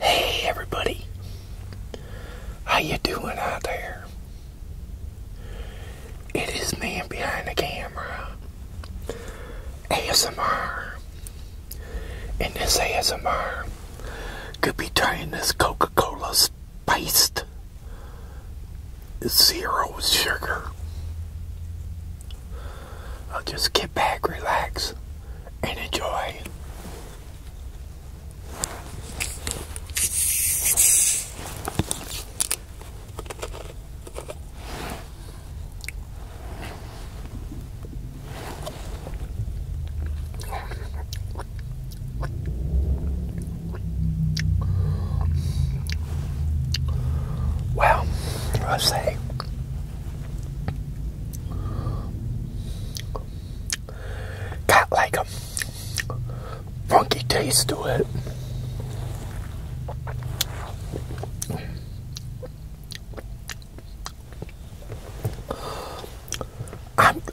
Hey everybody. How you doing out there? It is man behind the camera. ASMR. And this ASMR could be trying this Coca-Cola spiced zero sugar I'll just get back, relax, and enjoy. Well, I say Got like a funky taste to it.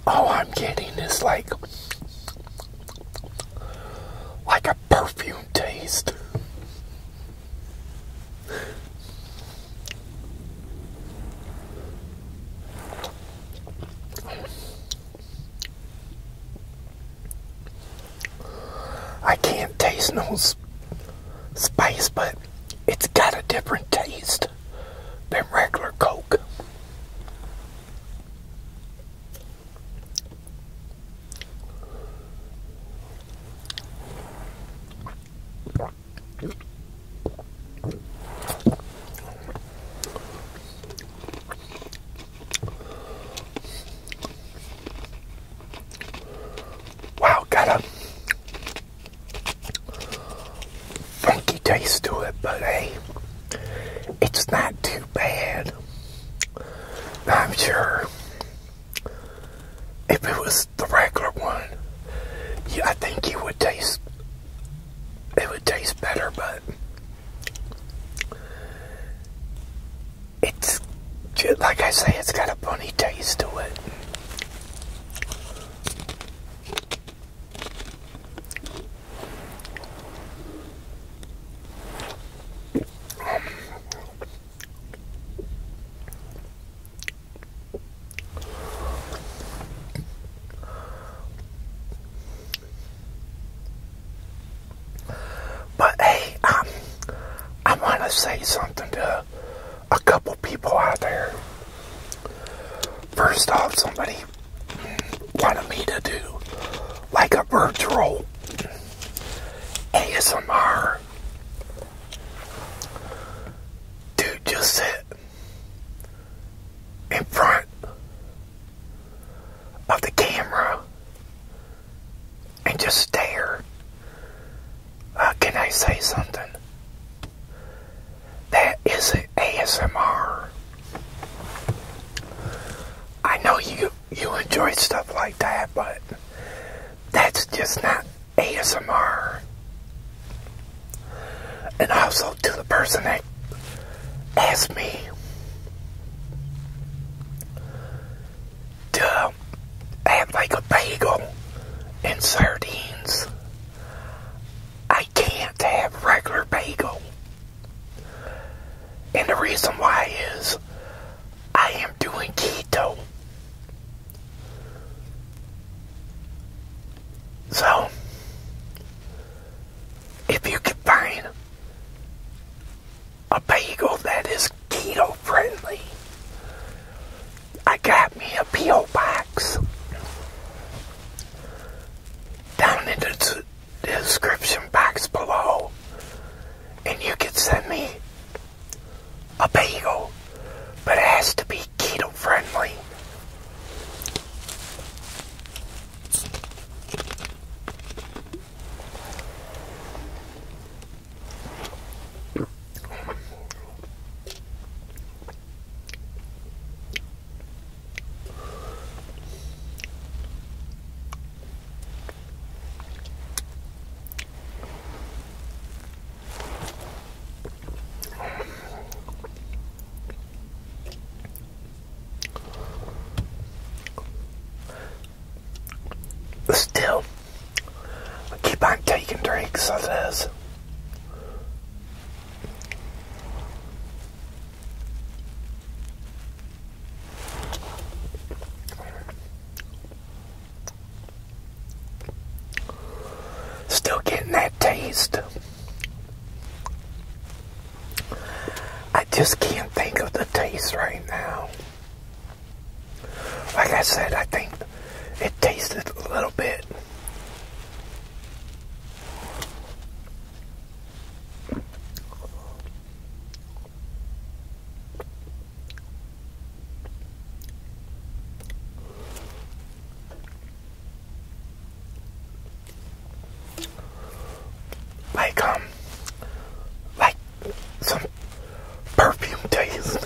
all I'm getting is like like a perfume taste. I can't taste no spice, but it's got a different taste than regular Coke. Wow, got a funky taste to it, but hey, it's not too bad. I'm sure if it was the regular one, I think it would taste it would taste better, but it's like I say, it's got a funny taste to it. But hey, um, I want to say something to a couple people out there. First off, somebody wanted me to do like a bird roll. ASMR. Dude, just sit in front of the camera and just stare. Uh, can I say something? That is ASMR. I know you you enjoy stuff like that, but that's just not ASMR. And also to the person that asked me to have like a bagel and sardines. I can't have regular bagel and the reason why is I am doing keto. So, if you can find a bagel that is keto friendly, I got me a P.O. box down in the the description box below and you can send me a bagel, but it has to be keto friendly still, keep on taking drinks as it is. Still getting that taste. I just can't think of the taste right now. Like I said, I think it tasted a little bit like, um, like some perfume taste.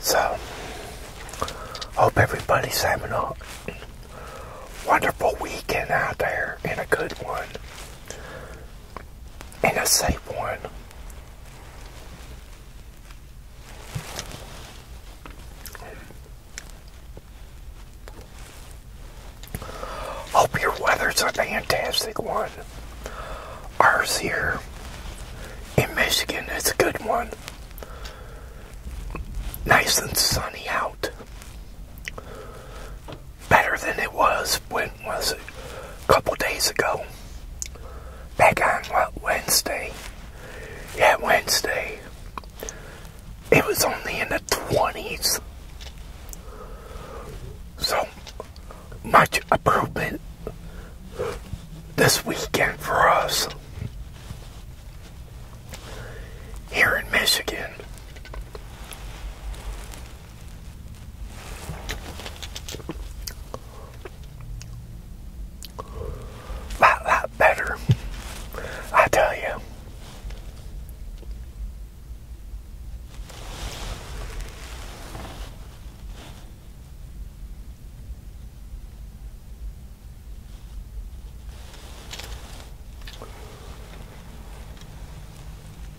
So, hope everybody's having a wonderful weekend out there and a good one and a safe one. Hope your weather's a fantastic one. Ours here in Michigan is a good one. Nice and sunny out better than it was when was it? A couple days ago. Back on what Wednesday? Yeah, Wednesday. It was only in the twenties. So much improvement this weekend for us here in Michigan. A lot, lot better. I tell you.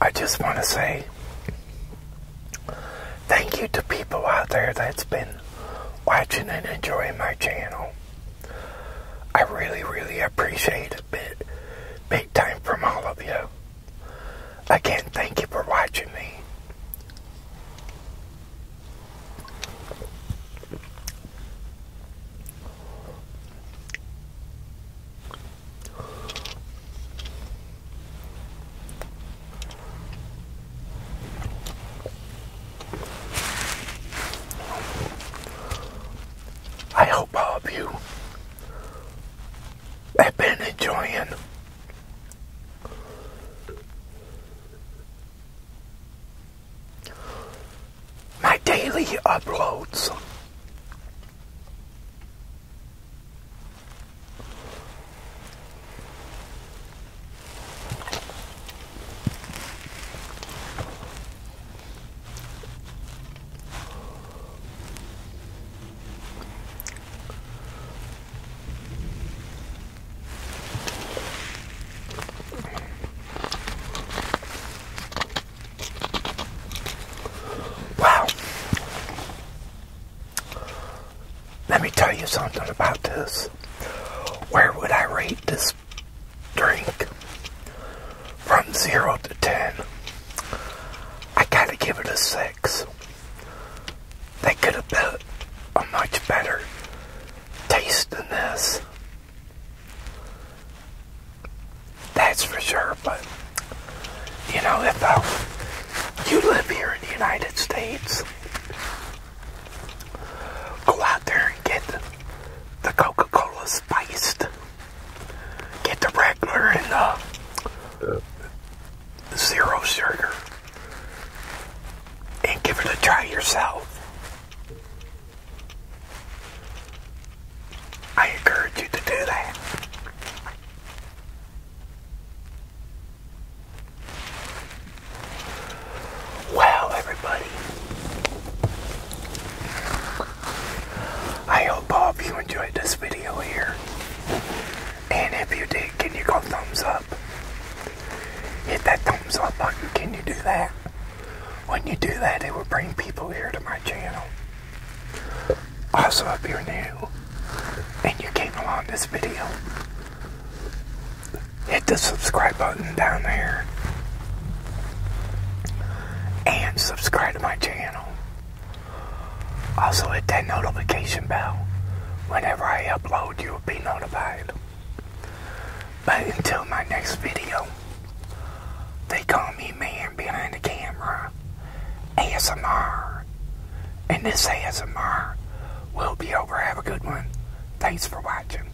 I just want to say thank you to people out there that's been watching and enjoying my channel. I really, really appreciate it. Being time from all of you. Again, thank you for watching me. I hope all of you I've been enjoying. My daily uploads. Wow. Let me tell you something about this. Where would I rate this drink from 0 to 10, I gotta give it a 6. They could have put a much better taste than this. That's for sure, but you know, if you live here in the United States, go out there and get the Coca-Cola spiced. Get the regular and the, uh, the zero sugar. And give it a try yourself. I encourage you to do that. Well, everybody, I hope all you enjoyed this video here. And if you did, can you go thumbs up? Hit that thumbs up button. Can you do that? When you do that, it will bring people here to my channel. Also, if you're new and you came along this video, hit the subscribe button down there and subscribe to my channel. Also, hit that notification bell. Whenever I upload, you will be notified. But until my next video, they call me Man Behind the Camera ASMR. And this ASMR will be over. Have a good one. Thanks for watching.